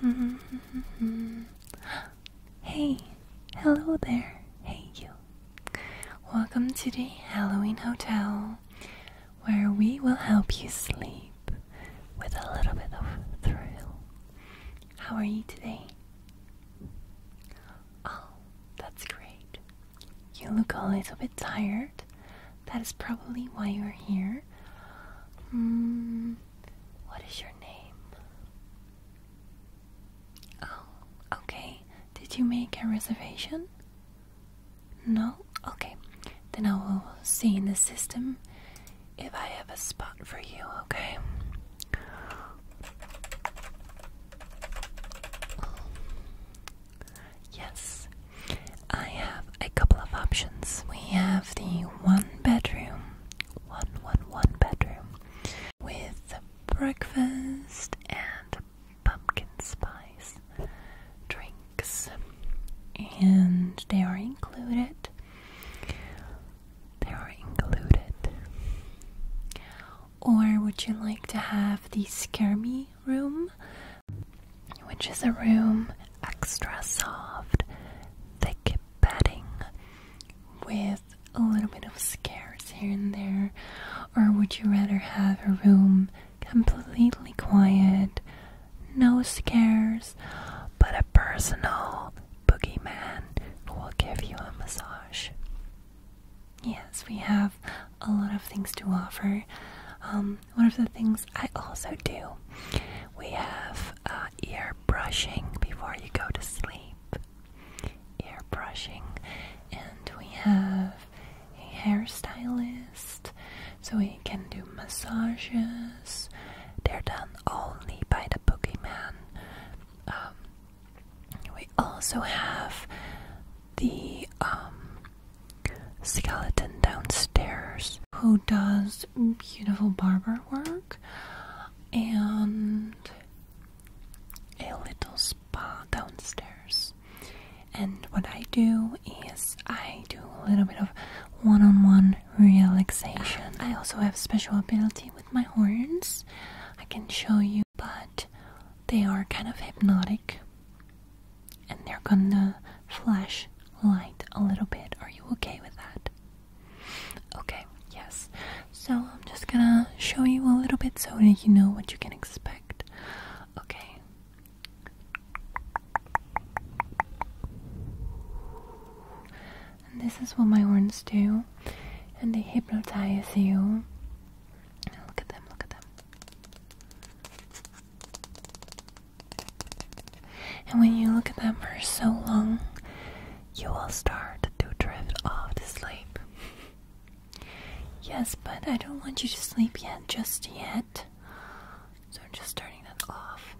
Hmm. hey, hello there. Hey, you. Welcome to the Halloween Hotel, where we will help you sleep with a little bit of thrill. How are you today? Oh, that's great. You look a little bit tired. That is probably why you're here. Hmm. What is your name? Oh, okay. Did you make a reservation? No? Okay. Then I will see in the system if I have a spot for you, okay? Yes, I have a couple of options. We have the one bedroom, one, one, one bedroom with breakfast and pumpkin spice drinks, and they are included. They are included or would you like to have the scare me room which is a room extra soft thick bedding with a little bit of scares here and there or would you rather have a room completely quiet no scares but a personal boogeyman who will give you a massage Yes, we have a lot of things to offer. Um, one of the things I also do, we have uh, ear brushing before you go to sleep. Ear brushing, and we have a hairstylist, so we can do massages. They're done only by the boogeyman. Um, we also have the um, skeleton downstairs who does beautiful barber work and a little spa downstairs. And what I do is I do a little bit of one on one relaxation. I also have special ability with my horns. I can show you, but they are kind of hypnotic and they're gonna flash light a little bit. Are you okay with that? Okay, yes. So I'm just gonna show you a little bit so that you know what you can expect. Okay. this is what my horns do, and they hypnotize you Look at them, look at them. And when you look at them for so long, you will start to drift off to sleep. Yes, but I don't want you to sleep yet, just yet. So I'm just turning that off.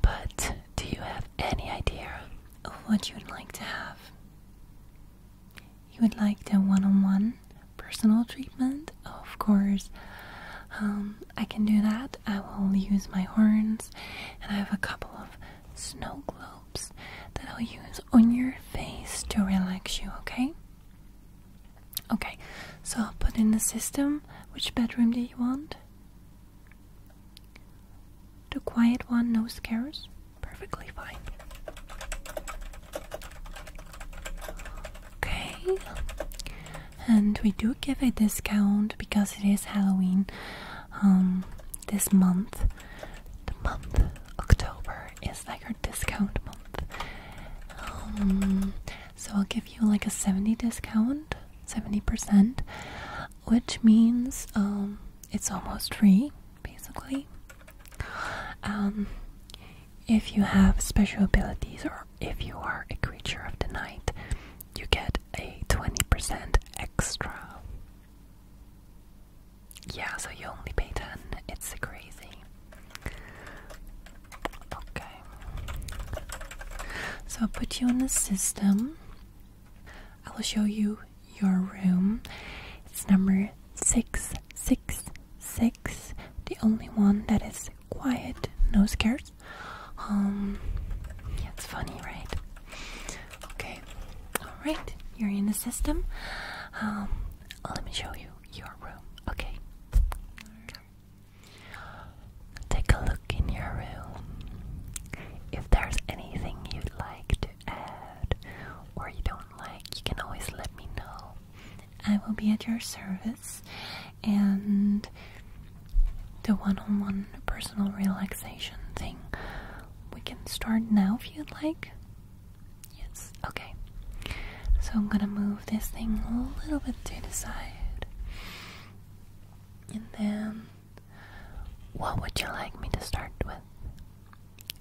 But do you have any idea of what you would like to have? You would like the one on one personal treatment? Of course. Um, I can do that. I will use my horns, and I have a couple of snow globes that I'll use on your face to relax you, okay? Okay, so I'll put in the system. Which bedroom do you want? The quiet one, no scares? Perfectly fine. Okay. And we do give a discount because it is Halloween um, this month. The month October is like our discount month. Um, so I'll give you like a 70 discount, 70%, which means um, it's almost free basically um, if you have special abilities or if you are a creature of the night you get a 20% extra yeah so you only pay 10 it's crazy okay so i put you on the system I will show you your room. It's number 666, the only one that is quiet, no scares. Um, yeah, it's funny, right? Okay, alright, you're in the system. Um, let me show you your room, okay? Take a look in your room. If there's anything you'd like to add or you don't like, you can always let me know. I will be at your service and the one on one personal relaxation thing. We can start now if you'd like. Yes, okay. So I'm gonna move this thing a little bit to the side. And then what would you like me to start with?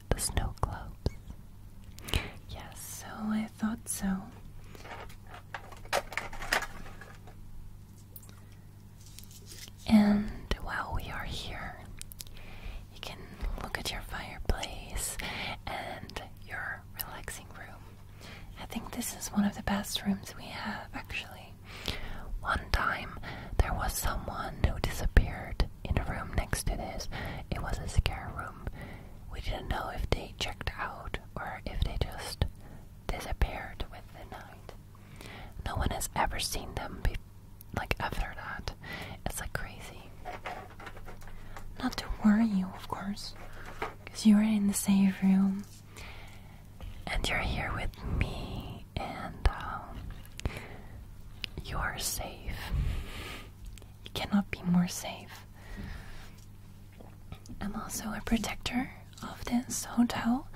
The snow globes. Yes, so I thought so. And while we are here, you can look at your fireplace and your relaxing room. I think this is one of the best rooms we have, actually. One time, there was someone who disappeared in a room next to this. It was a scary room. We didn't know if they checked out or if they just disappeared with the night. No one has ever seen them before. Like after that, it's like crazy. Not to worry you, of course, because you were in the same room and you're here with me, and um, you are safe. You cannot be more safe. I'm also a protector of this hotel,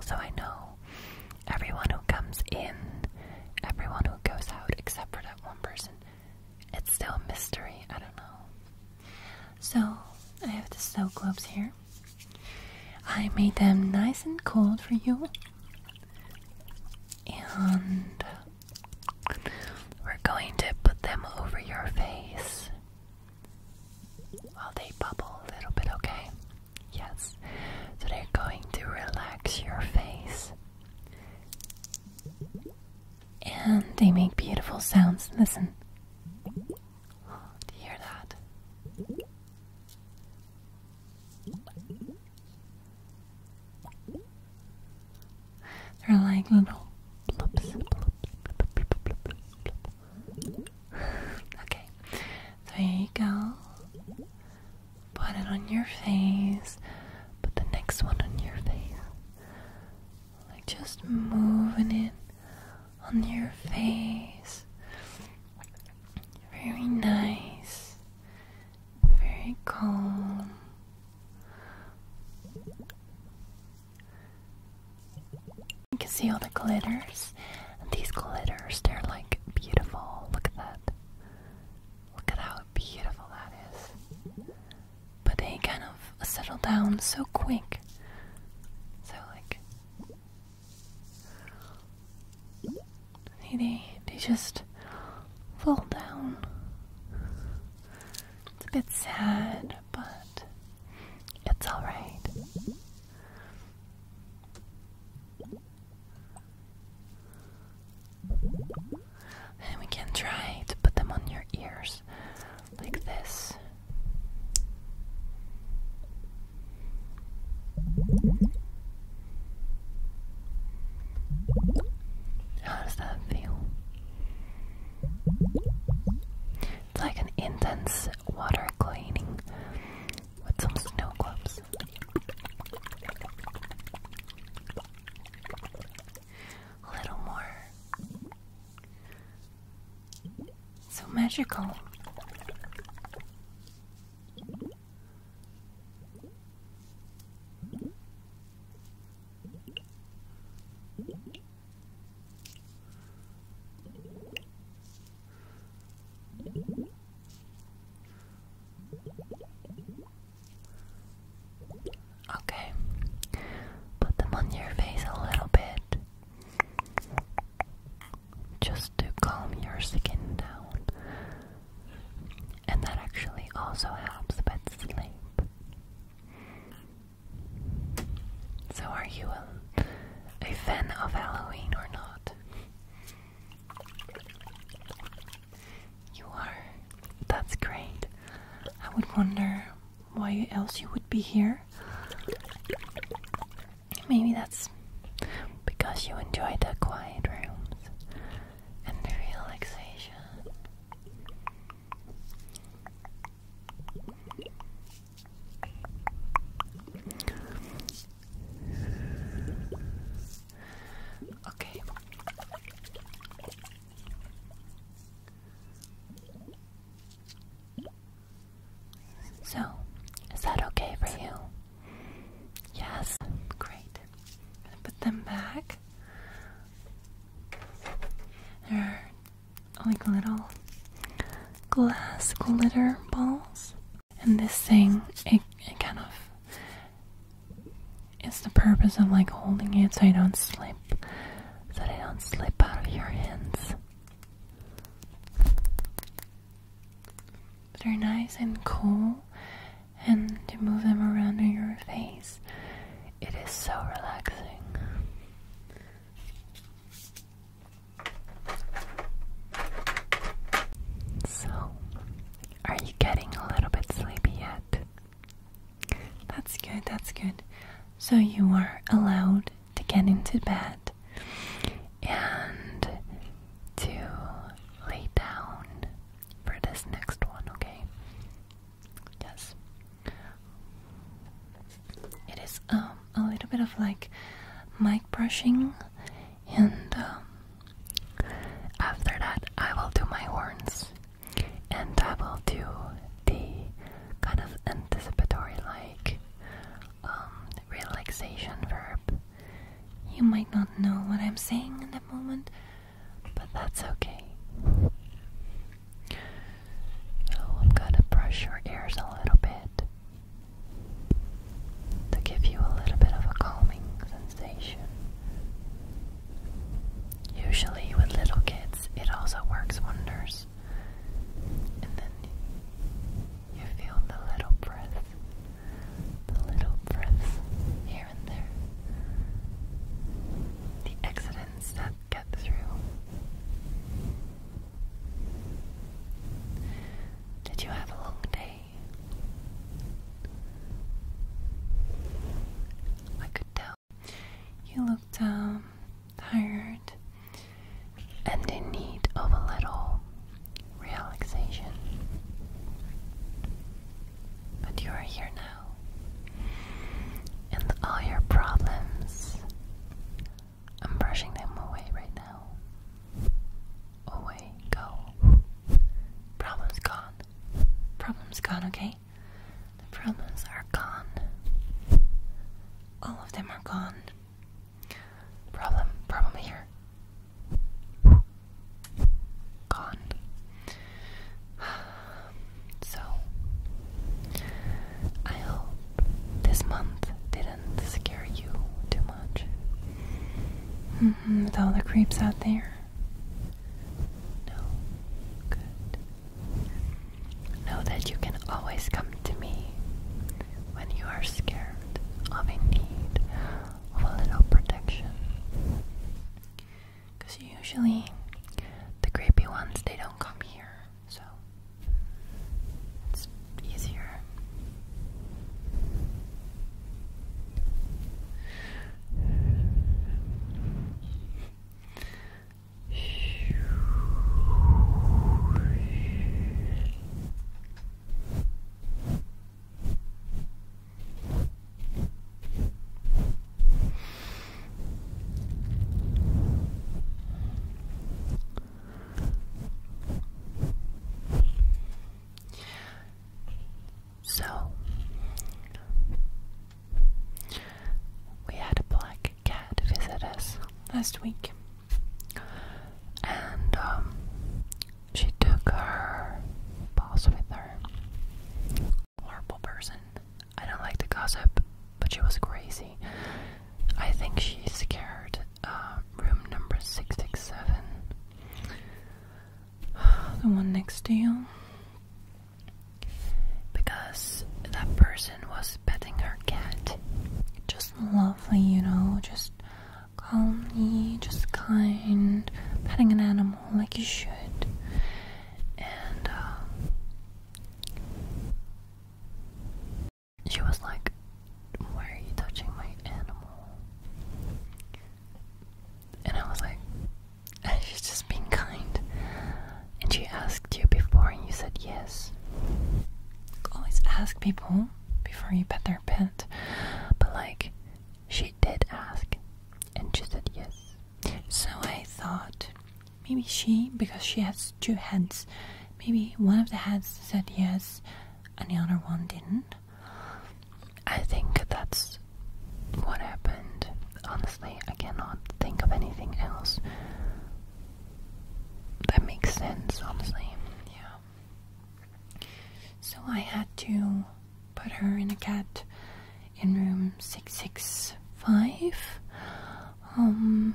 so I know everyone who comes in, everyone who goes out, except for that one person. It's still a mystery, I don't know. So, I have the snow gloves here. I made them nice and cold for you. And we're going to put them over your face while they bubble a little bit, okay? Yes. So they're going to relax your face. And they make beautiful sounds. Listen. Do you hear that? They're like little bloops, Okay, there you go. Put it on your face. Put the next one on your face. Like just moving it on your face. Very nice, very calm. You can see all the glitters. these glitters, they're like beautiful. Look at that. Look at how beautiful that is. But they kind of settle down so quick. So, like, they, they just fall down. It's a bit sad, but it's alright. And we can try to put them on your ears like this. How does that feel? It's like an intense water cleaning with some snow globes. A little more. So magical. Okay, put them on your face a little bit just to calm your skin down. And that actually also helps with sleep. So, are you a, a fan of Halloween or not? You are. That's great. I would wonder why else you would be here. Maybe that's because you enjoy the quiet rooms and the relaxation. Okay. So, is that okay for you? Yes, great. I'm gonna put them back. They're like little glass glitter balls. And this thing, it, kind of is the purpose of like holding it so I don't slip, so that don't slip out of your hands they are nice and cool, and to move them around on your face, it is so relaxing. So, are you getting a little bit sleepy yet? That's good, that's good. So, you are allowed to get into bed and to lay down for this next one, okay? Yes. It is um, a little bit of like mic brushing, and um, after that, I will do my horns and I will do the kind of anticipatory like um, relaxation verb. You might not know what I'm saying in that moment, but that's okay. Oh, I'm gonna brush your ears a little bit to give you a little bit of a calming sensation. Usually, with little kids, it also works wonders and then you feel the little breaths, the little breaths here and there, the accidents that get through. Did you have a long day? I could tell. You looked um, tired and in need of a little relaxation. But you are here now, and all your problems, I'm brushing them away right now. Away, go. Problems gone. Problems gone, okay? The problems are gone all of them are gone. Problem, problem here. Gone. So, I hope this month didn't scare you too much. Mm -hmm, with all the creeps out there? No? Good. Know that you can always come to me when you are scared of a need of a little protection. Because usually the creepy ones, they don't come here, so it's easier. So we had a black cat visit us last week, and um, she took her boss with her. Horrible person. I don't like the gossip, but she was crazy. I think she scared uh, room number six six seven, the one next to you because that person was petting her cat. Just lovely, you know, just calmly, just kind, petting an animal like you should. And uh, she was like, Why are you touching my animal? And I was like, She's just being kind and she asked you before and you said yes. Always ask people before you pet their pet, but like she did ask and she said yes. So I thought maybe she, because she has two heads, maybe one of the heads said yes and the other one didn't. I think that's what happened. Honestly, I cannot think of anything else that makes sense, honestly. Yeah. So I had to put her in a cat in room 665. Um,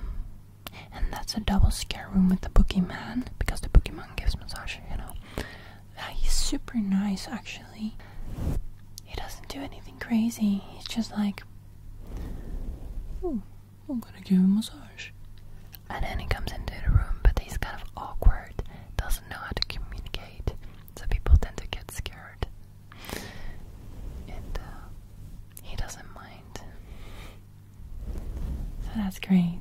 and that's a double scare room with the boogeyman because the boogeyman gives massage, you know. he's super nice, actually. He doesn't do anything crazy, he's just like Oh, I'm gonna give him a massage. And then he comes into the room, but he's kind of awkward, doesn't know how to communicate, so people tend to get scared. And uh, he doesn't mind. So that's great.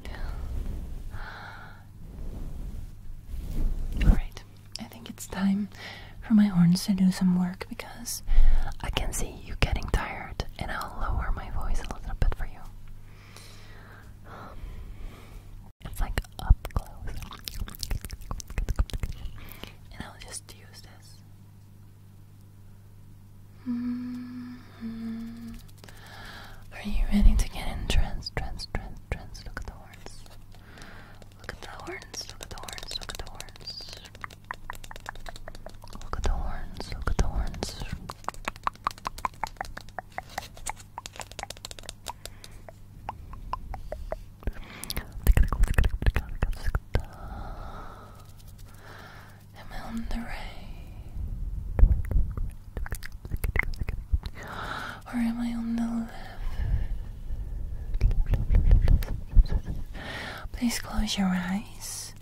Alright, I think it's time for my horns to do some work because I can see you getting tired, and I'll lower my voice a little bit for you. It's like up close, and I'll just use this. Mm-hmm. Are you ready to get in trance? Trance, trance, trance. Look at the horns. Look at the horns, look at the horns, look at the horns. Look at the horns, look at the horns. Am I on the right? Or am I on the left? Please close your eyes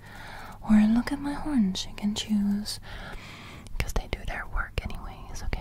or look at my horns. You can choose they do their work anyways, okay?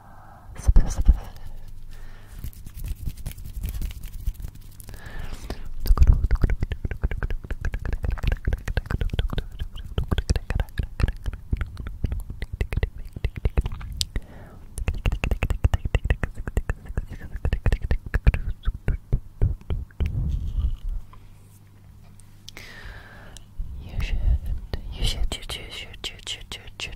You should, you should, you should, you should, you should, you should, you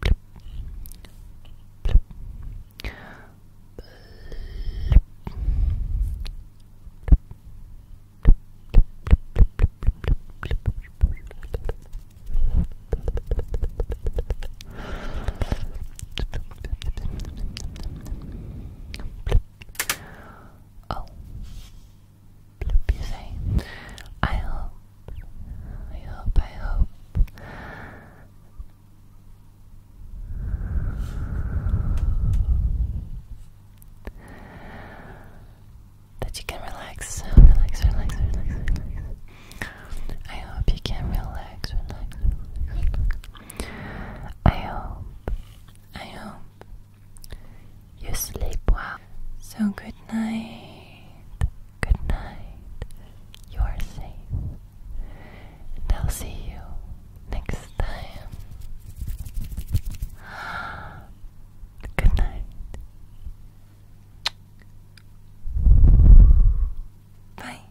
Blip. Blip. Blip. Oh, I hope, I hope, I hope. That you can relax, relax, relax, relax, relax. I hope you can relax, relax, relax. I hope, I hope you sleep well. So good night, good night. You are safe, I'll see you next time. Good night. Bye.